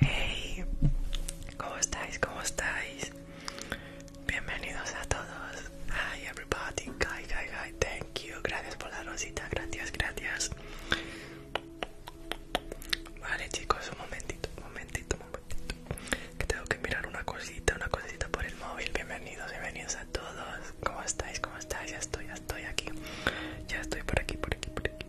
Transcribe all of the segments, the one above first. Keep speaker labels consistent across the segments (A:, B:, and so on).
A: Hey, ¿cómo estáis? ¿Cómo estáis? Bienvenidos a todos. Hi everybody. Hi, hi, hi. Thank you. Gracias por la rosita. Gracias, gracias. Vale, chicos, un momentito, un momentito, un momentito. Que tengo que mirar una cosita, una cosita por el móvil. Bienvenidos, bienvenidos a todos. ¿Cómo estáis? ¿Cómo estáis? Ya estoy, ya estoy aquí. Ya estoy por aquí, por aquí, por aquí.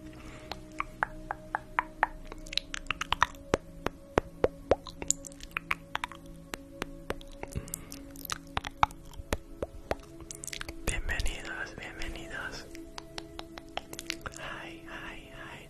A: Bienvenidos, bienvenidos. Ay, ay, ay.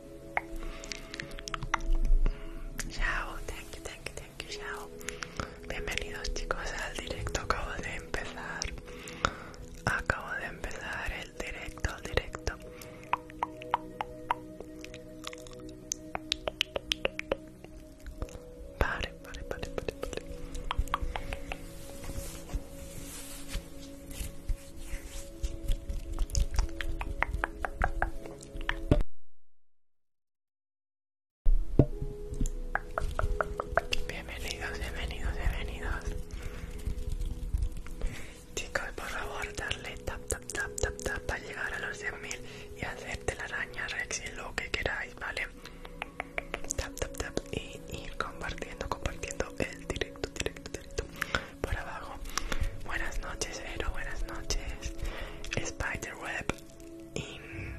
A: Chao, thank you, thank you, thank you, chao. Bienvenidos chicos al directo, acabo de empezar. Acabo de empezar el directo, el directo. Vale, vale, vale, vale, vale. Bienvenidos, bienvenidos, bienvenidos. Chicos, por favor, darle tap, tap, tap, tap, tap para llegar a los 100.000 y hacerte la araña, y lo que queráis, ¿vale? Tap, tap, tap y ir compartiendo, compartiendo el directo, directo, directo por abajo Buenas noches, Ero, buenas noches. Spiderweb in...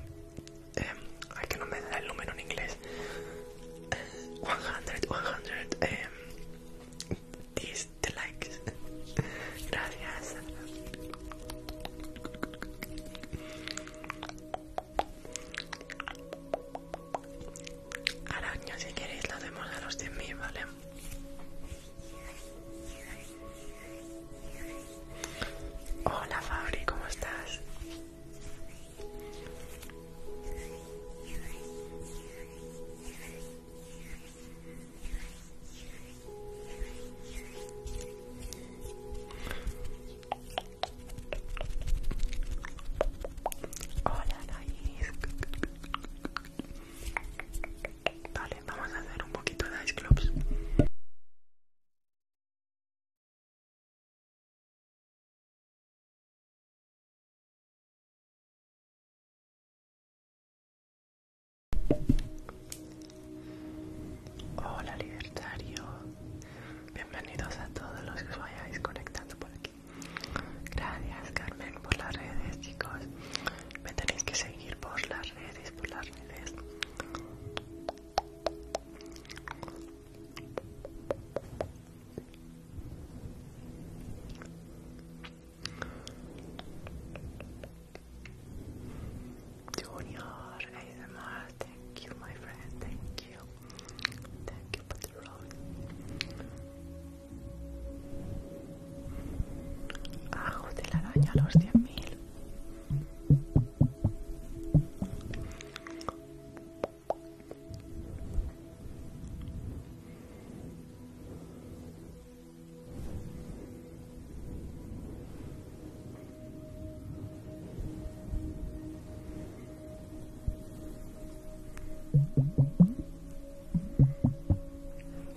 A: Em, ay, que no me da el número en inglés. 100, 100, eh, likes. Gracias. Araña, si queréis, lo hacemos a los 100.000, ¿vale? Hola Fabri, ¿cómo estás? Hola Anaís vamos a hacer un poquito de ice clubs. Hola libertario, bienvenidos a todos los que os vayáis conectando por aquí. Gracias Carmen por las redes chicos me tenéis que seguir por las redes, por las redes. Junior ASMR, thank you my friend, thank you. Thank you for the road. Ajo de la araña a los 100.000.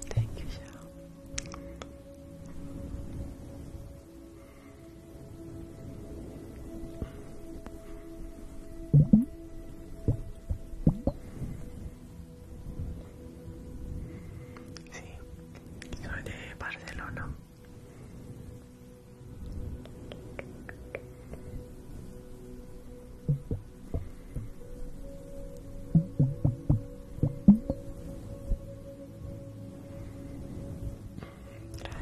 A: Thank you, Shao. Sí, soy de Barcelona.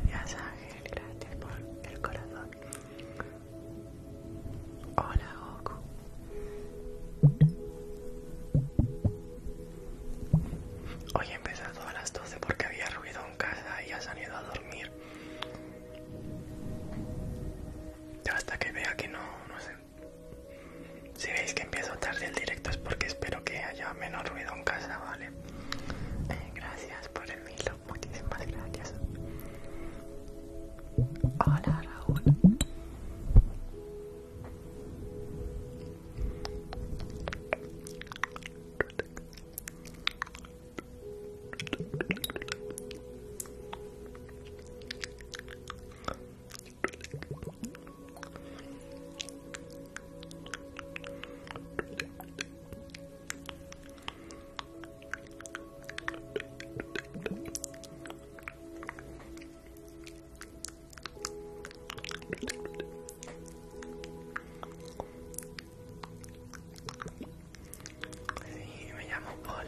A: Gracias Ángel, gracias por el corazón. Hola Goku. Hoy he empezado a las 12 porque había ruido en casa y ha salido a dormir. Hasta que vea que no, no se si veis que empiezo tarde el directo es porque espero que haya menos ruido en casa, ¿vale? Eh, gracias por el hilo muchísimas gracias. Hola Raúl y me llamo Paul.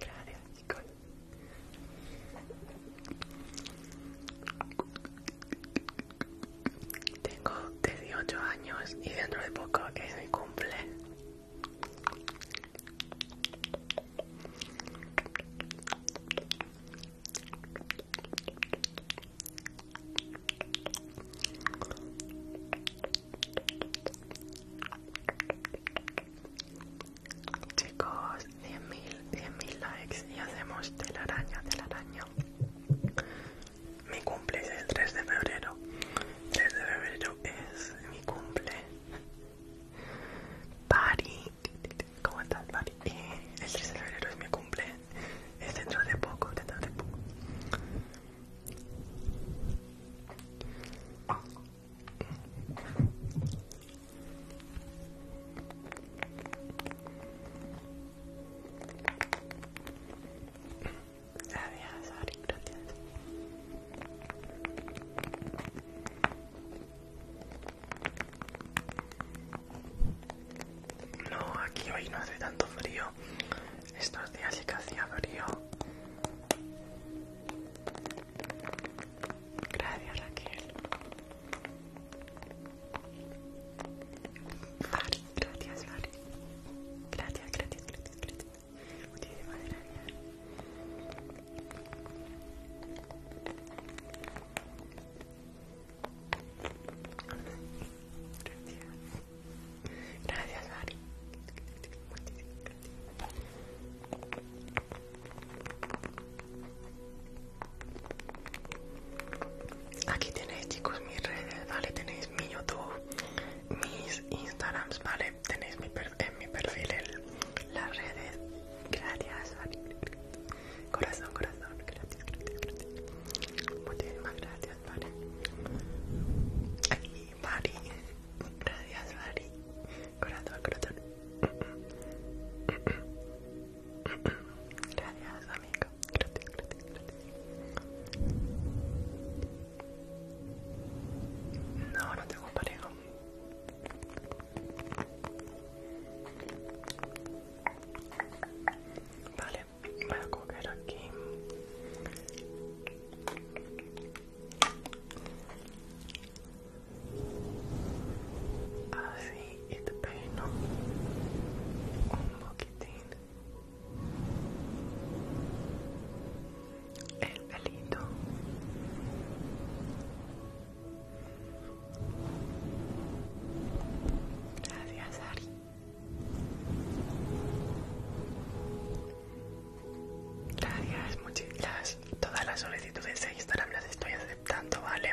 A: Claro, chicos. Tengo 18 años y dentro de poco es mi cumple. Chicos, 100.000, likes y hacemos telaraña, araña Mi cumple es el 3 de febrero. 3 de febrero es mi cumple. Pari, ¿cómo estás, Pari? Eh, el 3 de febrero es mi cumple. Es dentro de poco, dentro de poco. No, aquí hoy no hace tanto frío. Estos días sí que hacía frío. Gracias, Raquel. gracias, vale Gracias, gracias, gracias, gracias. Gracias. Gracias, Ari Aquí tenéis, chicos, mis redes, ¿vale? Tenéis mi YouTube, mis Instagrams, ¿vale? Tenéis mi en mi perfil las redes. Gracias, Ari Corazón, corazón. Gracias, Muchísimas gracias, ¿vale? Mari. Gracias, Mari. Corazón, corazón. Gracias, amigo. Gracias, gracias, gracias. No, no tengo pareja. Vale, voy a coger aquí Así es te peino un poquitín el pelito. Gracias, Ari. Gracias, muchísimas todas las solicitudes de Instagram las estoy aceptando, ¿vale?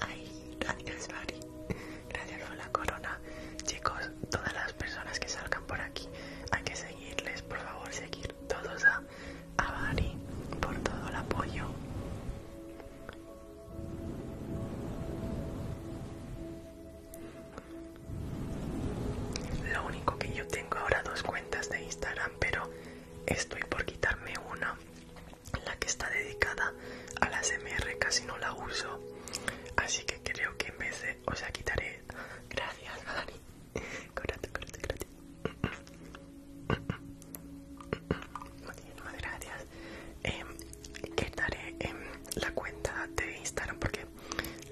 A: Ay, gracias, Bari Gracias por la corona. Chicos, todas las personas que salgan por aquí, hay que seguirles, por favor, seguir todos a, Bari por todo el apoyo. Lo único que yo tengo ahora dos cuentas de Instagram, pero estoy por quitarme una, la que está dedicada a las MR, casi no la uso. Así que creo que en vez de, o sea, quitaré. Gracias, Dani. gracias. Em, quitaré em, la cuenta de Instagram porque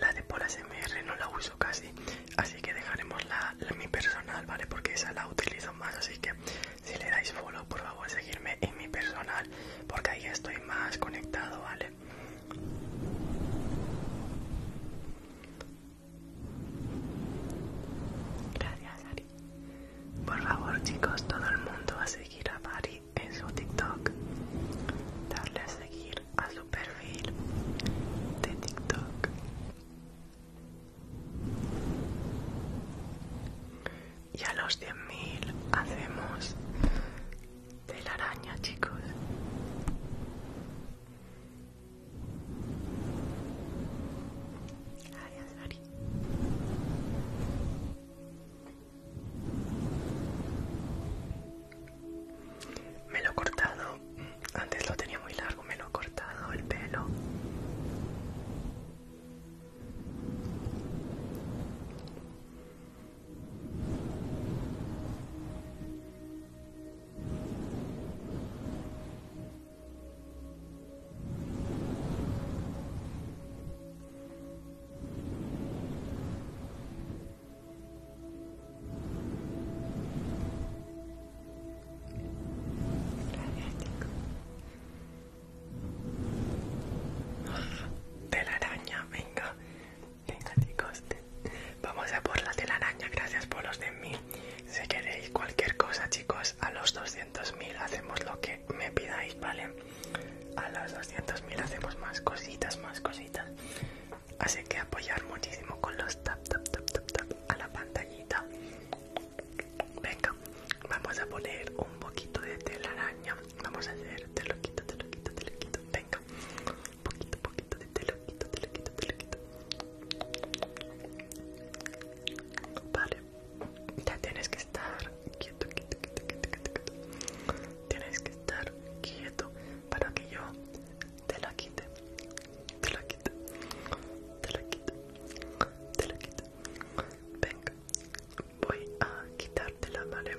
A: la de Polas mr no la uso casi, así que dejaremos la, mi personal, ¿vale? Porque esa la utilizo más, así que si le dais follow, por favor, seguirme en mi personal, porque ahí estoy más conectado, ¿vale? Gracias, Ari. Por favor, chicos, todo el mundo a seguir a Bari en su TikTok, darle a seguir a su perfil de TikTok y a los 10.000 hacemos telaraña chicos araña, Ari. Me lo he cortado, antes lo tenía muy largo, me lo he cortado el pelo araña, venga, venga chicos, vamos a por la araña, gracias por los de mil. Si queréis cualquier cosa chicos, a los 200.000 hacemos lo que me pidáis, ¿vale? A los 200.000 hacemos más cositas, más cositas así que apoyar muchísimo con los tap tap tap tap tap a la pantallita venga vamos a poner un poquito de telaraña vamos a hacer teloquito lo quito te lo quito venga poquito poquito de teloquito lo quito vale ya tienes que estar quieto quieto quieto, quieto. tienes que estar quieto para que yo te la quito, te la quito, te la quito, te la quito. Venga, voy a quitarte la Te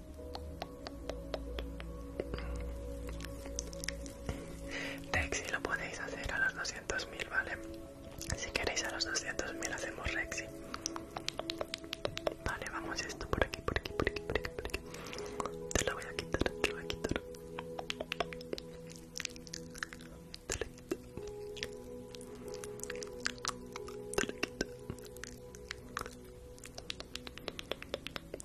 A: Rexy lo podéis hacer a los 200.000, ¿vale? Si queréis a los 200.000 hacemos Rexy. Vale, vamos esto por aquí, por aquí, por aquí, por aquí, por aquí. Te lo voy a quitar, te lo voy a quitar. Te lo quito. Te lo quito.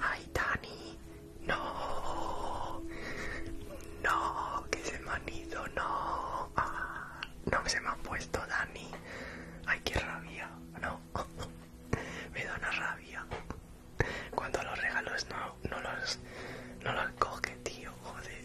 A: Ay, Dani, no, no, que se me han ido, no, ah, no se me han puesto, Dani. Ay, qué rabia, no, me da una rabia. Cuando los regalos no, no los, no los coge, tío, joder.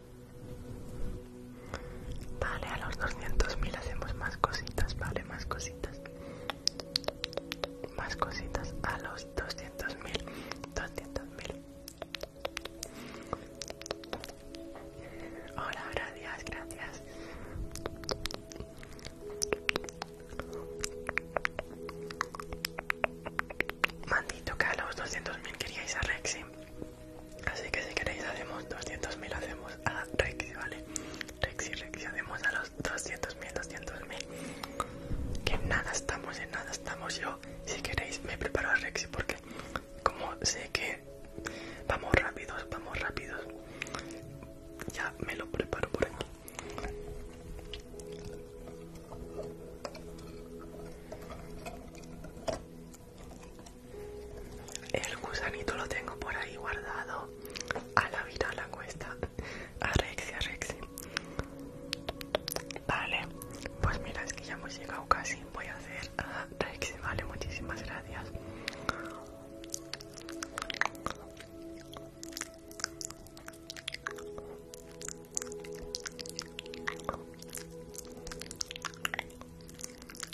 A: Vale, a los 200.000 hacemos más cositas, vale, más cositas. Más cositas a los 200.000. 200.000. Hola, gracias, gracias. Mandito que a los 200.000 queríais a Rexy. Así que si queréis hacemos 200.000, hacemos a Rexy, ¿vale? Rexy, Rexy, hacemos a los 200.000, 200.000. Que nada estamos, en nada estamos. Yo, si queréis, me preparo a Rexy porque como sé que vamos rápidos, vamos rápidos. Ya me lo preparo por aquí. El gusanito lo tengo por ahí guardado. A la vida la cuesta. A Rexy, a Rexy. Vale, pues mira, es que ya hemos llegado casi. Voy a hacer a Rexy, vale, muchísimas gracias.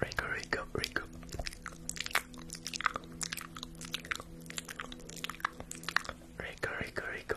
A: Rico, Rico, Rico. Rico, Rico, Rico.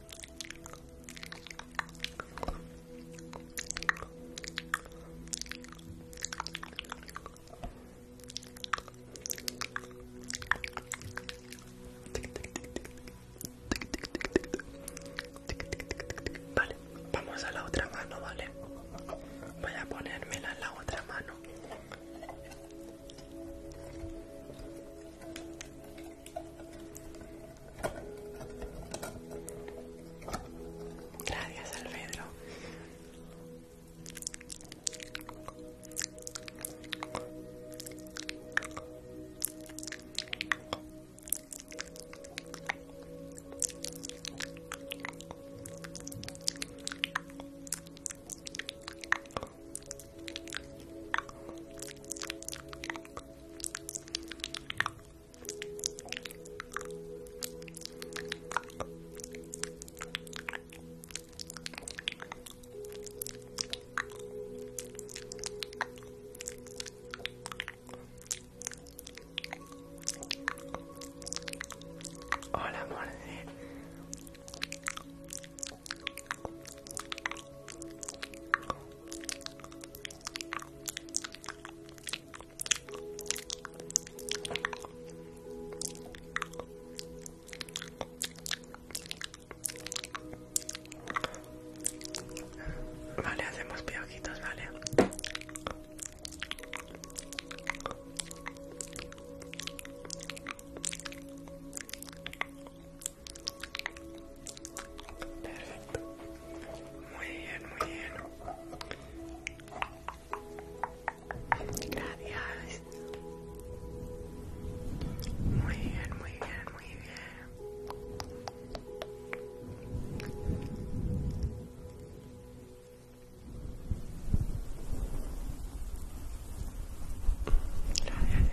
A: Vale, vamos a la otra mano, ¿vale? Voy a ponérmela en la otra mano. Gracias, Alfredo. Hola, amor. Vale, hacemos piojitos, vale. Perfecto. Muy bien, muy bien. Gracias. Muy bien, muy bien, muy bien. Gracias,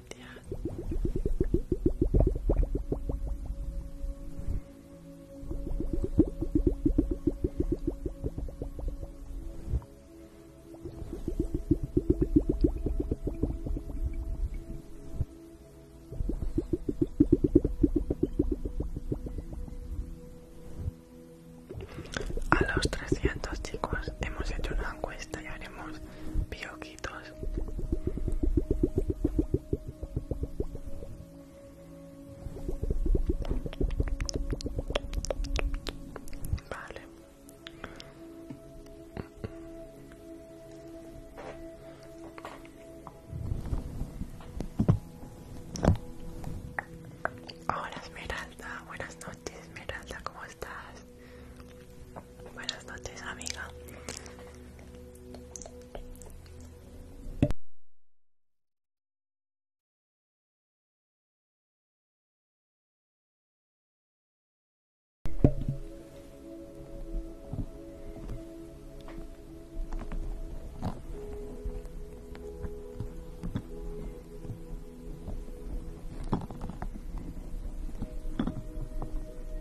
A: A los 300 chicos hemos hecho una encuesta y haremos que Hola Esmeralda, buenas noches Esmeralda, ¿cómo estás? Buenas noches, amiga.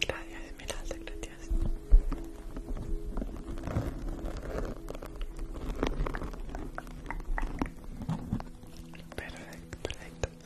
A: Gracias, Esmeralda, gracias. Perfecto, perfecto.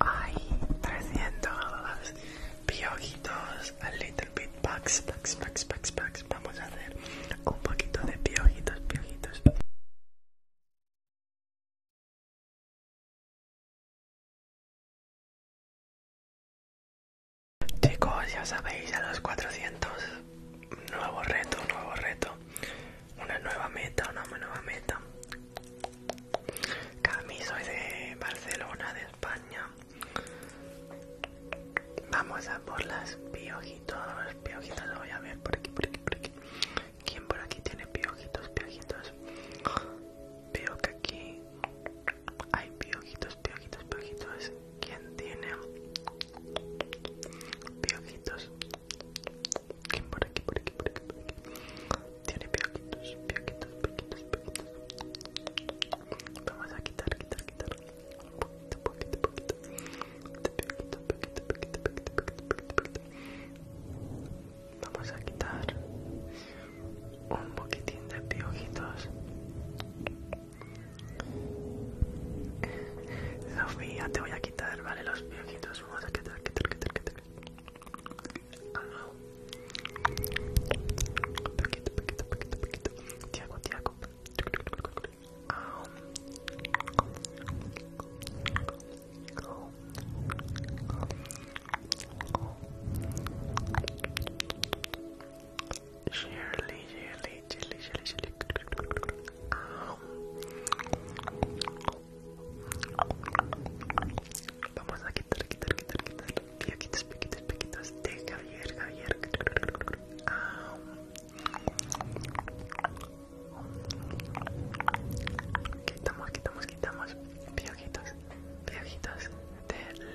A: Hay 300 piojitos, a little bit Pax, pax, pax, pax Vamos a hacer un poquito de piojitos, piojitos. Chicos, ya sabéis, a los 400, nuevo reto, nuevo reto, una nueva meta, una nueva meta. Cami, soy de Barcelona, de España. Vamos a por las piojitos, piojitos, voy a ver por aquí, por aquí, por aquí. ¿Quién por aquí tiene piojitos, piojitos? Veo que aquí hay piojitos, piojitos, piojitos. ¿Quién tiene? Piojitos. ¿Quién por aquí, por aquí, por aquí? Por aquí? Tiene piojitos, piojitos, piojitos, piojitos. Vamos a quitar, quitar, quitar. Un Poquito, poquito, poquito. Poquito, poquito, poquito, poquito, poquito, poquito, poquito. Vamos a quitar un poquitín de piojitos. Sofía, te voy a quitar, ¿vale? Los viejitos. vamos a quitar, quitar, quitar, quitar. quitar, Vamos a quitar, quitar, quitar, quitar. de Javier, Quitamos, quitamos, quitamos. Piojitos, piojitos de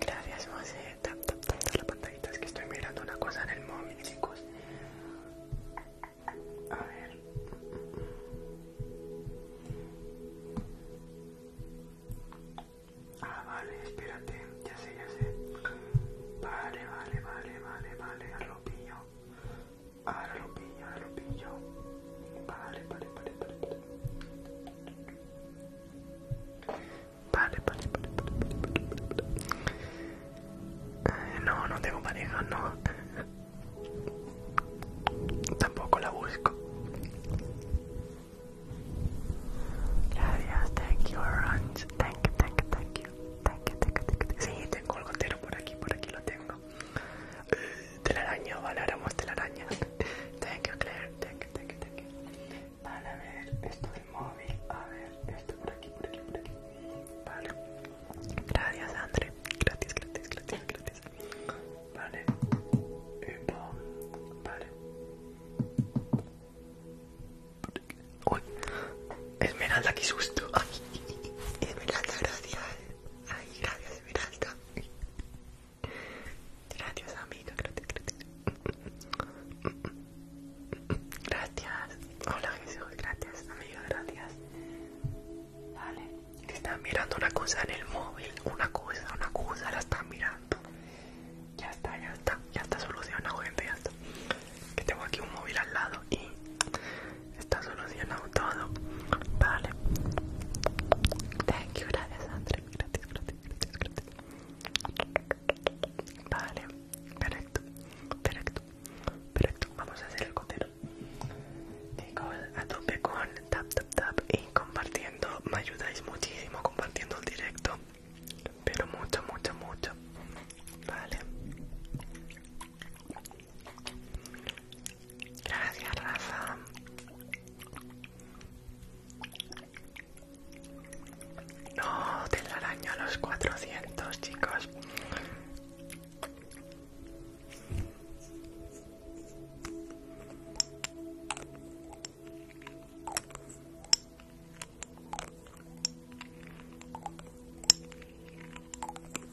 A: Gracias, José. la pantallita. Es que estoy mirando una cosa en el móvil, chicos. A ver. Ah, vale, espérate. Ya sé, ya sé. Vale, vale, vale, vale, vale. Arropillo. Ahora lo pillo, ahora lo pillo. Vale, vale, vale, vale. Vale, vale, vale, pare, vale, eh, no, no tengo pareja, no. Tampoco la busco. Gracias, thank you, orange. Thank you, thank you, thank you. Thank Sí, tengo el gotero por aquí, por aquí lo tengo araña, vale, ahora hemos la Thank you, Claire. Thank you, thank you, thank you. Vale, a ver, esto del móvil. A ver, esto por aquí, por aquí, por aquí. Vale. Gracias, André. Gratis, gratis, gratis, gratis. Vale. Vale. Uy. Esmeralda, qué susto. Esmeralda, gracias. Ay, gracias Esmeralda. Gracias amiga, gracias, gracias. Gracias. Hola Jesús, gracias amiga, gracias. Vale. Están mirando una cosa en el móvil, una cosa, una cosa, la están mirando. Ya está, ya está, ya está solucionado gente, ya está. Que tengo aquí un móvil al lado y está solucionado todo vale thank you gracias André gratis gratis gratis gratis vale perfecto perfecto perfecto vamos a hacer el cotero Y a tope con tap tap tap y compartiendo me ayudáis muchísimo compartiendo el directo pero mucho mucho mucho vale Gracias, Rafa. No, araña a los 400, chicos.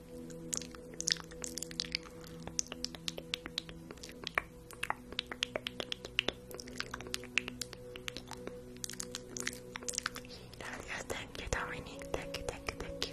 A: Yes, thank you, Dominique. Thank you, thank you, thank you.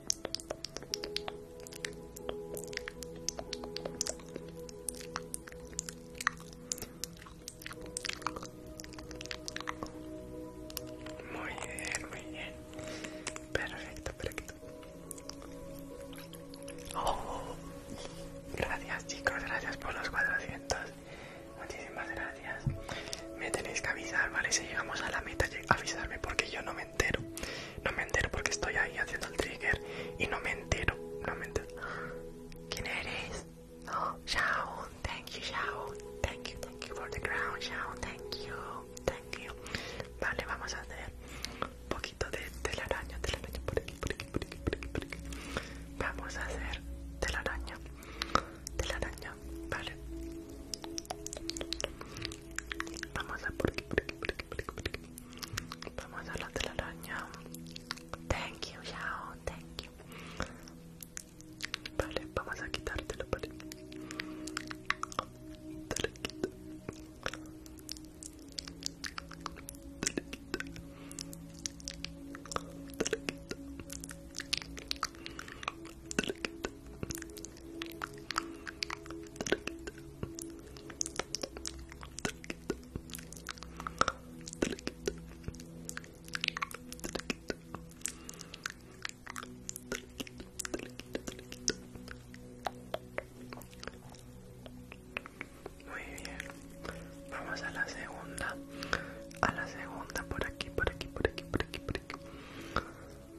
A: Muy bien, muy bien. Perfecto, perfecto. Oh, gracias chicos, gracias por los 400. Muchísimas gracias. Me tenéis que avisar, ¿vale? Si llegamos a la meta, avisarme porque yo no me entero. No me entero porque estoy ahí haciendo el trigger y no me entero. No me entero. ¿Quién eres? No, Shaun. Thank you, Shaun. Thank you, thank you for the crown, Shaun. Thank you, thank you. Vale, vamos a hacer un poquito de telaraña, telaraña por aquí, por aquí, por aquí, por aquí, por aquí. Vamos a hacer telaraña, telaraña, vale. Vamos a por aquí, por aquí, por aquí, por aquí, Vamos a la telaraña. Thank you, Yao. Thank you. Vale, vamos a quitártelo, vale. Te lo quito. Te lo quito. Te lo quito. Te lo quito. Muy bien, vamos a la segunda, a la segunda por aquí, por aquí, por aquí, por aquí, por aquí.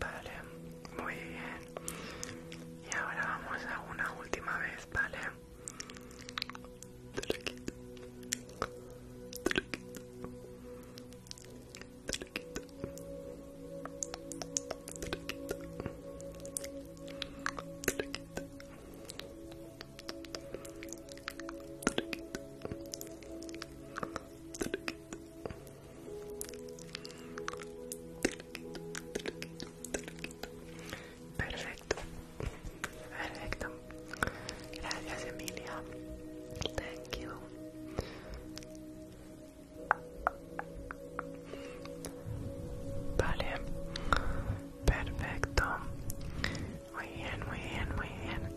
A: Vale, muy bien. Y ahora vamos a una última vez, ¿vale? vale Perfecto, perfecto. Gracias, Emilia. Thank you. Vale, Perfecto. Muy bien, muy bien, muy bien.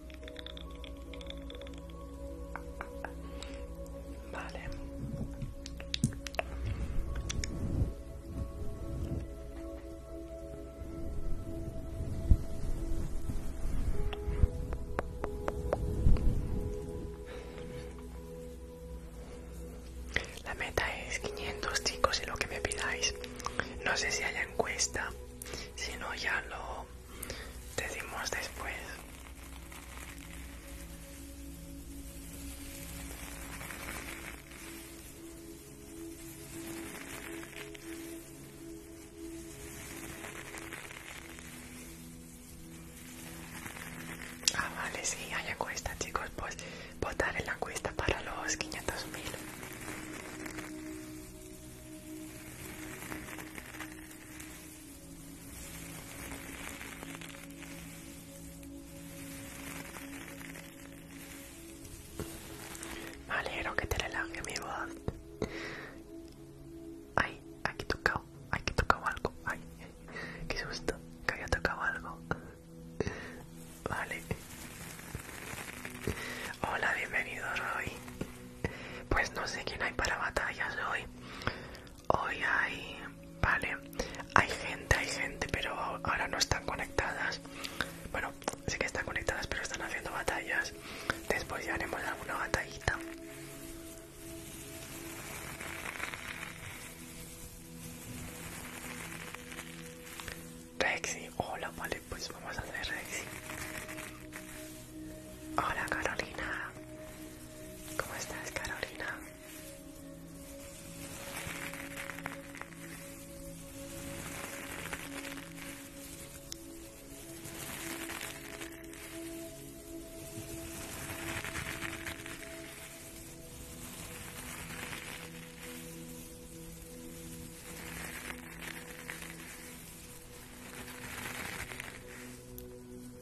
A: Vale. La meta es 500 chicos y lo que me pidáis. No sé si haya encuesta, si no ya lo te dimos después. Ah, vale, sí, hay acuesta chicos. Pues votar en la cuesta para los 500.000 mil. Vale, quiero que te relaje mi voz. Ay, aquí tocado, aquí tocar algo. Ay, qué susto, que había tocado algo. Vale. Hola, bienvenido Roy. Pues no sé quién hay para batallas hoy. Hoy hay... Vale. Hay gente, hay gente, pero ahora no están conectadas. Bueno, sí que están conectadas, pero están haciendo batallas. Después ya haremos alguna batallita. Rexy, hola, vale, pues vamos a hacer Rexy. Hola Carolina, ¿cómo estás Carolina? Gracias,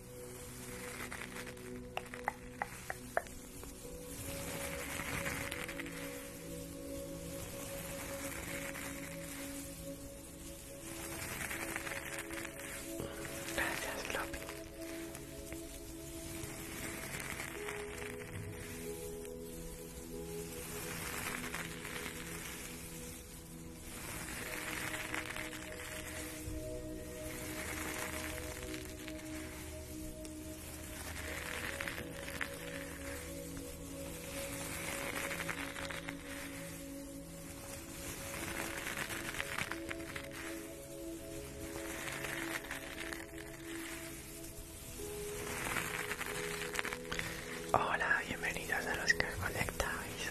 A: Floppy. Hola, bienvenidos a los que conectáis.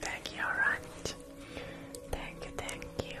A: Thank you, Orange. Thank you, thank you.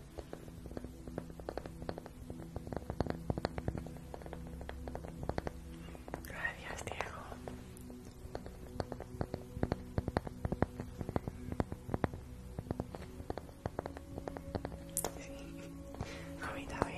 A: Gracias, Diego. Sí, a mí también.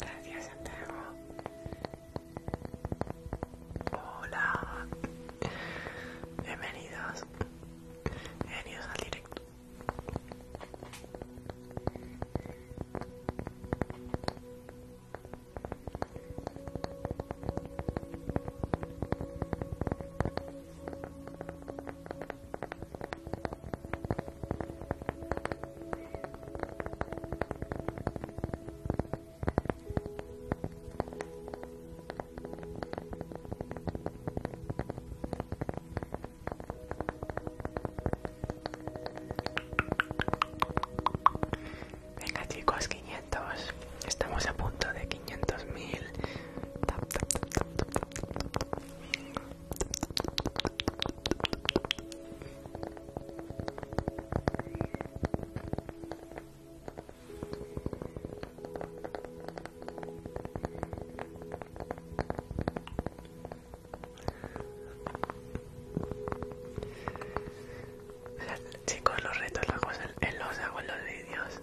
A: Gracias, Santiago. Hola. Bienvenidos. Bienvenidos al directo. Venga chicos, 500. Estamos a punto de quinientos mil. Chicos, los retos los hago en los, hago en los vídeos.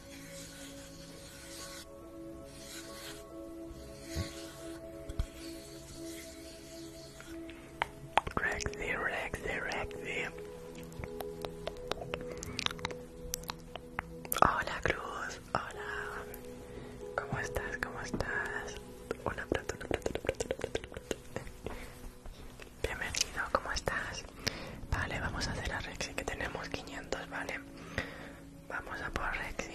A: Rexy, Rexy, Rexy. Hola Cruz, hola. ¿Cómo estás? ¿Cómo estás? Bienvenido, ¿cómo estás? Vale, vamos a hacer a Rexy que tenemos 500, vale Vamos a por Rexy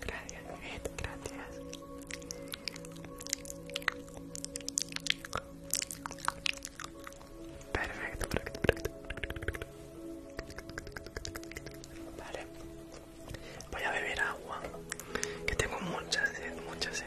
A: Gracias, gracias. Perfecto, perfecto, perfecto. Vale. Voy a beber agua, que tengo mucha sed, mucha sed.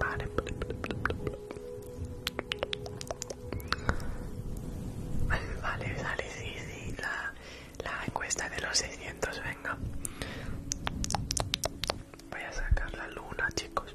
A: Vale. Vale, vale, sí, sí, la, la encuesta de los 600, venga. Voy a sacar la luna, chicos.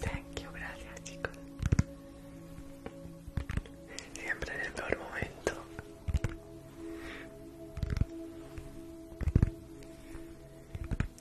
A: Thank you, gracias chicos. Siempre en el peor momento.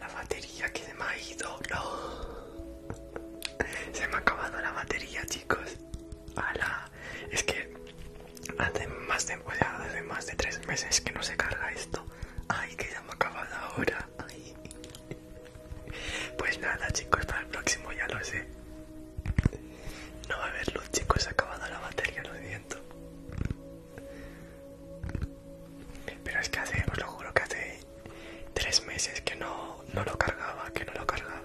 A: la batería que se me ha ido, Se me ha acabado la batería, chicos. ¡Hala! Es que hace más de, ya hace más de tres meses que no se carga esto. Ay, que ya me ha acabado ahora Pues nada, chicos, para el próximo ya lo sé. No va a haber luz, chicos, se ha acabado la batería, lo siento. Pero es que hace, os lo juro que hace tres meses que no, no lo cargaba, que no lo cargaba.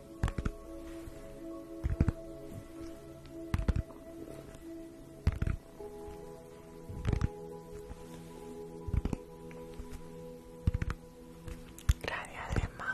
A: Gracias, mamá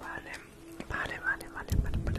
A: Vale, vale, vale, vale, vale, vale,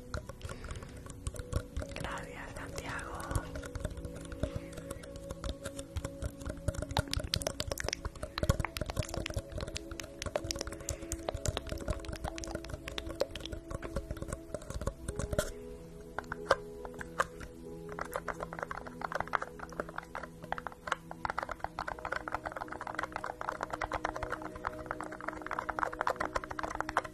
A: Gracias, Santiago.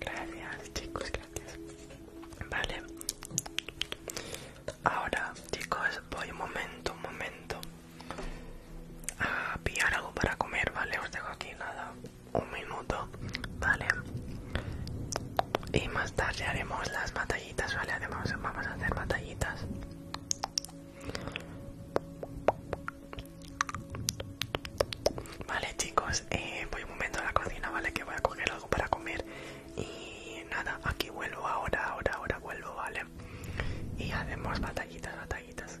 A: Gracias chicos, gracias. Vale. Ahora chicos, voy un momento, un momento a ah, pillar algo para comer, ¿vale? Os dejo aquí nada, un minuto, ¿vale? Y más tarde haremos las batallitas, ¿vale? Además vamos a hacer batallitas. Vale chicos, eh, voy un momento a la cocina, ¿vale? Que voy a coger algo para comer. Y nada, aquí vuelvo ahora, ahora, ahora vuelvo, ¿vale? y hacemos batallitas, batallitas.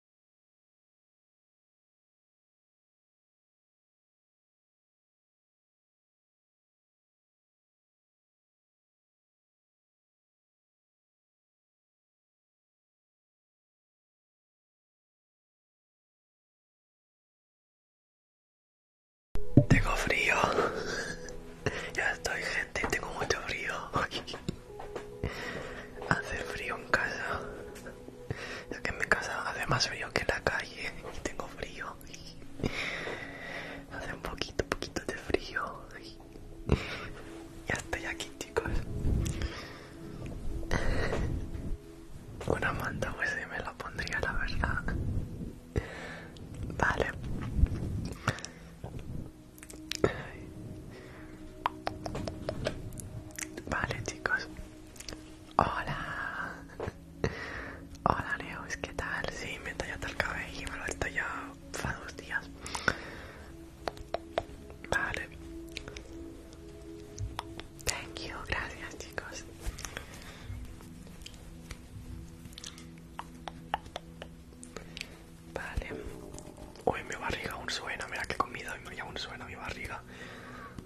A: Tengo frío. Ya estoy, gente. Tengo mucho frío. Hace frío en casa ya que en mi casa hace más frío que en la calle y tengo frío hace un poquito poquito de frío ya estoy aquí chicos una manta pues me la pondría la verdad vale Vale chicos, Hola. Hola, Neos, ¿qué tal? Sí, me he tallado el cabello y me lo he tallado hace dos días. Vale. Thank you, gracias, chicos. Vale. Uy, mi barriga aún suena, mira que he comido y aún suena mi barriga.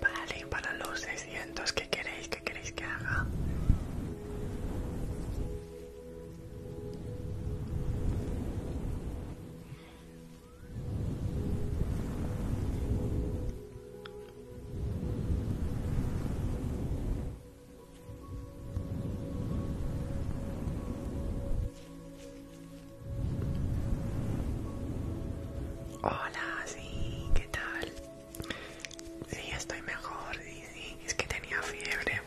A: Vale, para los 600 que queréis, que queréis que haga. Hola, sí, ¿qué tal? Sí, estoy mejor, sí, sí, es que tenía fiebre.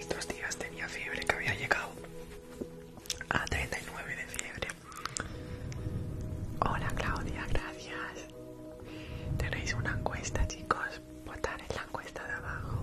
A: Estos días tenía fiebre que había llegado a 39 de fiebre. Hola Claudia, gracias. Tenéis una encuesta, chicos. Votar en la encuesta de abajo.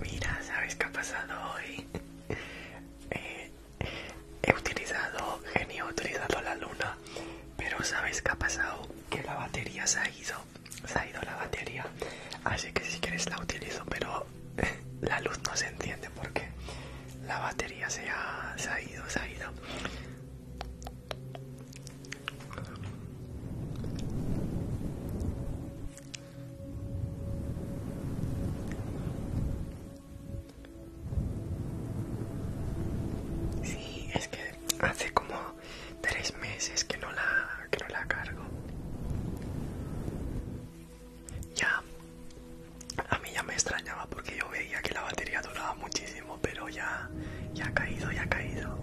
A: Mira, ¿sabes qué ha pasado hoy? Eh, he utilizado, genio, he utilizado la luna, pero ¿sabes qué ha pasado? Que la batería se ha ido se ha ido la batería así que si quieres la utilizo pero la luz no se entiende porque la batería se ha, se ha ido se ha ido Sí, es que hace como tres meses que no la, que no la cargo. Ya, a mí ya me extrañaba porque yo veía que la batería duraba muchísimo, pero ya, ya ha caído, ya ha caído.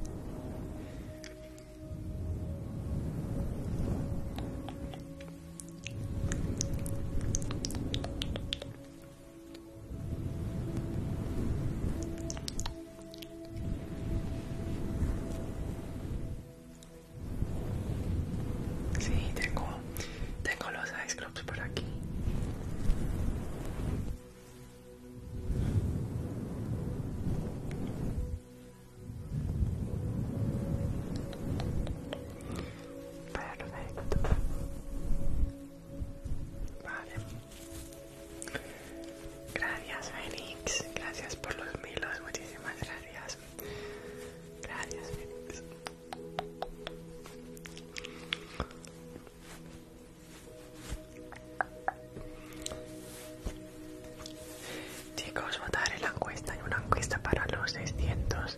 A: Sí, tengo, tengo los ice clubs por aquí. Perfecto. Vale. Gracias, Fénix. Gracias por los milos. Muchísimas gracias. Gracias, Fénix. Chicos, a la encuesta. Hay una encuesta para los 600.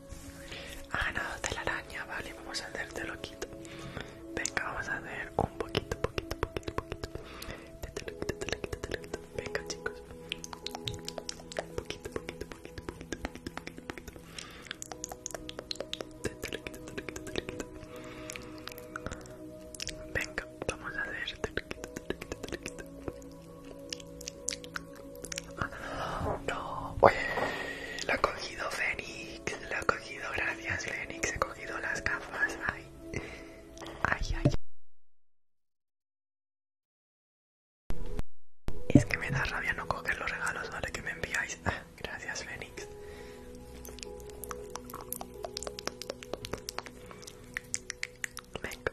A: Ah, de la araña, vale, vamos a hacerte loquito. Venga, vamos a hacer un poquito, poquito, poquito, poquito. Venga, chicos. Poquito, poquito, poquito, poquito, Venga, vamos a hacer. te no, pues, lo ha cogido Fénix, lo ha cogido, gracias Fénix, he cogido las gafas, ay, ay, ay. Es que me da rabia no coger los regalos, ¿vale? Que me enviáis. Ah, gracias Fénix. Venga.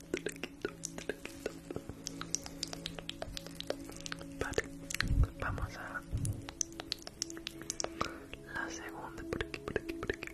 A: Vale, vamos a la segunda por aquí, por aquí, por aquí.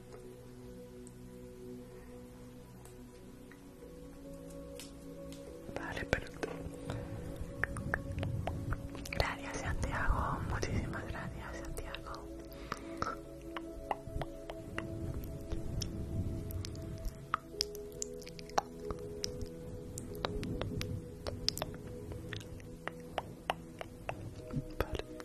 A: Vale, pero Gracias, Santiago. Muchísimas gracias, Santiago. Vale.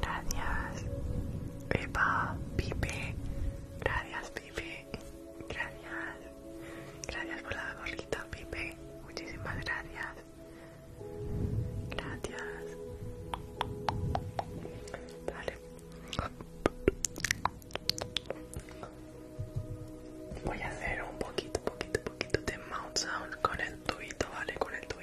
A: Gracias, Pepa, Pipe. Gracias, Pipe. Gracias. Gracias por la gorrita, Pipe. Muchísimas gracias. Gracias. Vale. Voy a hacer un poquito, poquito, poquito de mouse sound con el tuito, ¿vale? Con el tuito.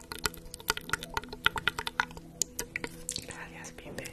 A: Gracias, Pipe.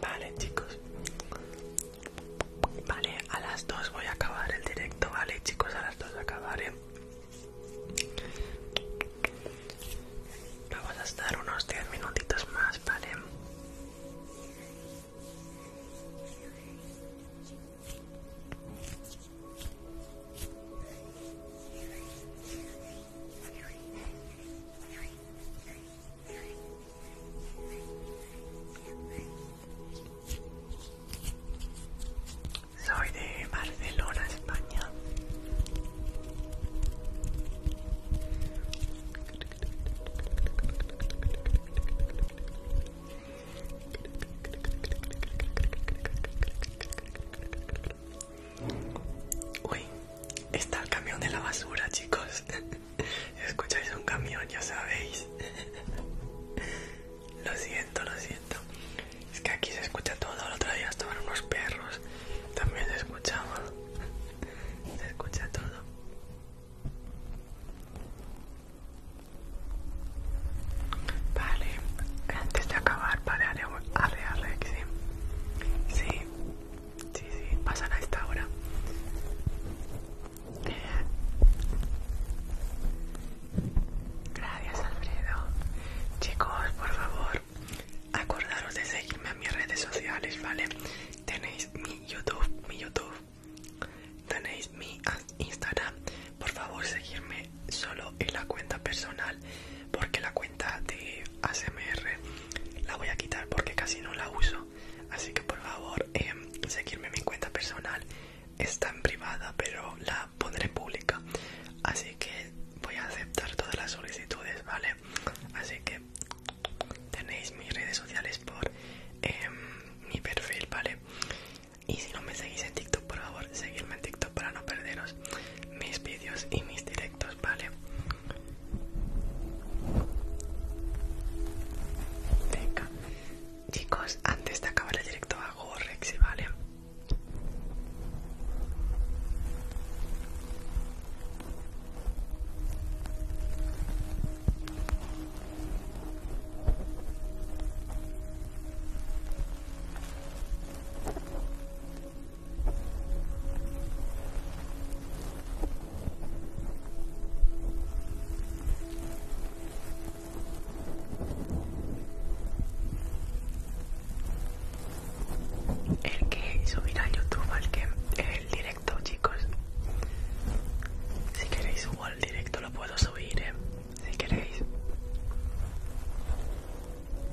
A: Vale, chicos. Vale, a las 2 voy a acabar el directo, ¿vale, chicos? A las 2 acabaré. Vamos a estar unos 10 minutitos más, ¿vale? Soy de Barcelona, España. Uy, está el camión de la basura, chicos. Escucháis un camión, ya sabéis. Lo siento, lo siento. Es que aquí se escucha todo. El otro día estaban unos perros. También se escuchaba. Se escucha todo. Vale, antes de acabar, vale, haré, Sí, sí, sí, pasan a esta hora. Gracias, Alfredo. Chicos, por favor, acordaros de seguirme en mis redes sociales, ¿vale? Tenéis mi YouTube, mi YouTube. Tenéis mi Instagram. Por favor, seguirme solo en la cuenta personal, porque la cuenta de ASMR la voy a quitar porque casi no la uso así que por favor em, seguirme en mi cuenta personal está en privada pero la pondré pública así que voy a aceptar todas las solicitudes vale así que tenéis mis redes sociales por em, mi perfil vale y si no me seguís en TikTok por favor seguirme en TikTok para no perderos mis vídeos y mis directos vale Venga. Chicos, antes de acabar el directo hago y ¿vale? El que subirá a YouTube, al que el directo, chicos. Si queréis subo al directo, lo puedo subir, ¿eh? si queréis.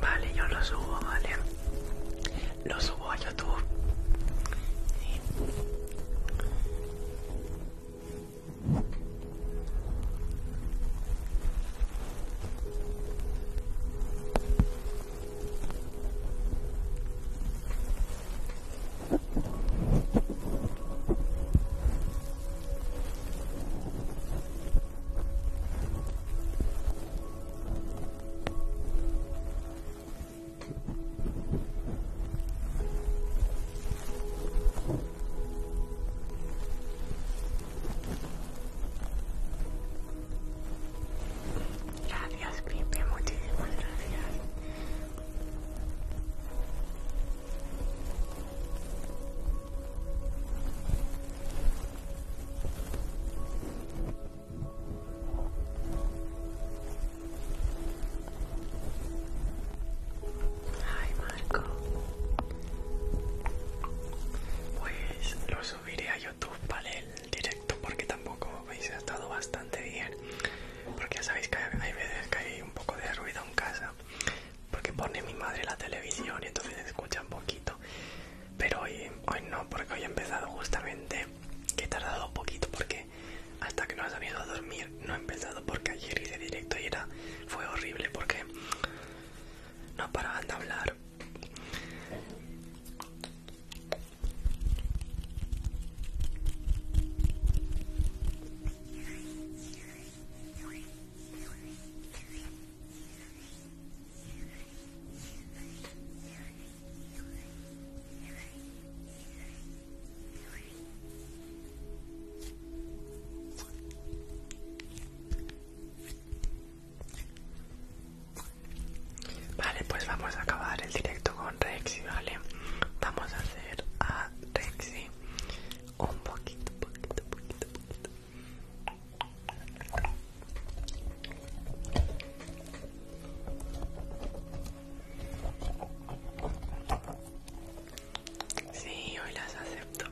A: Vale, yo lo subo, vale. Lo subo a YouTube. Gracias, Pipe, muchísimas gracias Ay, Marco. Pues lo subiré a YouTube, para El directo, porque tampoco veis ha estado bastante bien porque ya sabéis que hay veces que hay un poco de ruido en casa porque pone mi madre la televisión y entonces escucha un poquito pero hoy, no porque hoy he empezado justamente que he tardado un poquito porque hasta que no has venido a dormir no he empezado porque ayer hice directo y era fue horrible porque no paraban de hablar Vale, pues vamos a acabar el directo con y ¿vale? vamos a hacer a Rexy un poquito, poquito, poquito, poquito. Sí, hoy las acepto.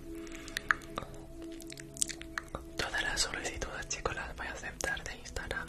A: Todas las solicitudes, chicos, las voy a aceptar de Instagram.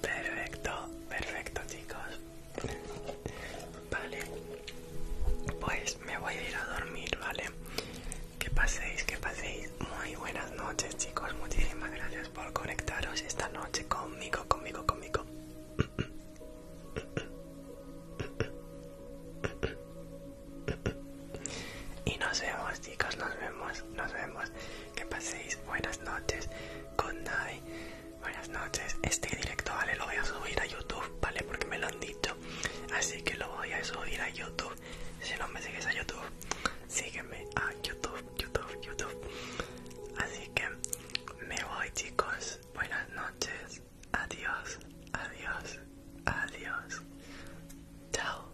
A: Perfecto, perfecto chicos. Vale, pues me voy a ir a dormir, ¿vale? Que paséis, que paséis. Muy buenas noches chicos, muchísimas gracias por conectaros esta noche conmigo, conmigo, conmigo. Y nos vemos chicos, nos vemos, nos vemos que paséis buenas noches, good night, buenas noches. Este directo, vale, lo voy a subir a YouTube, vale, porque me lo han dicho. Así que lo voy a subir a YouTube. Si no me sigues a YouTube, sígueme a YouTube, YouTube, YouTube. Así que me voy, chicos. Buenas noches. Adiós, adiós, adiós. Chao.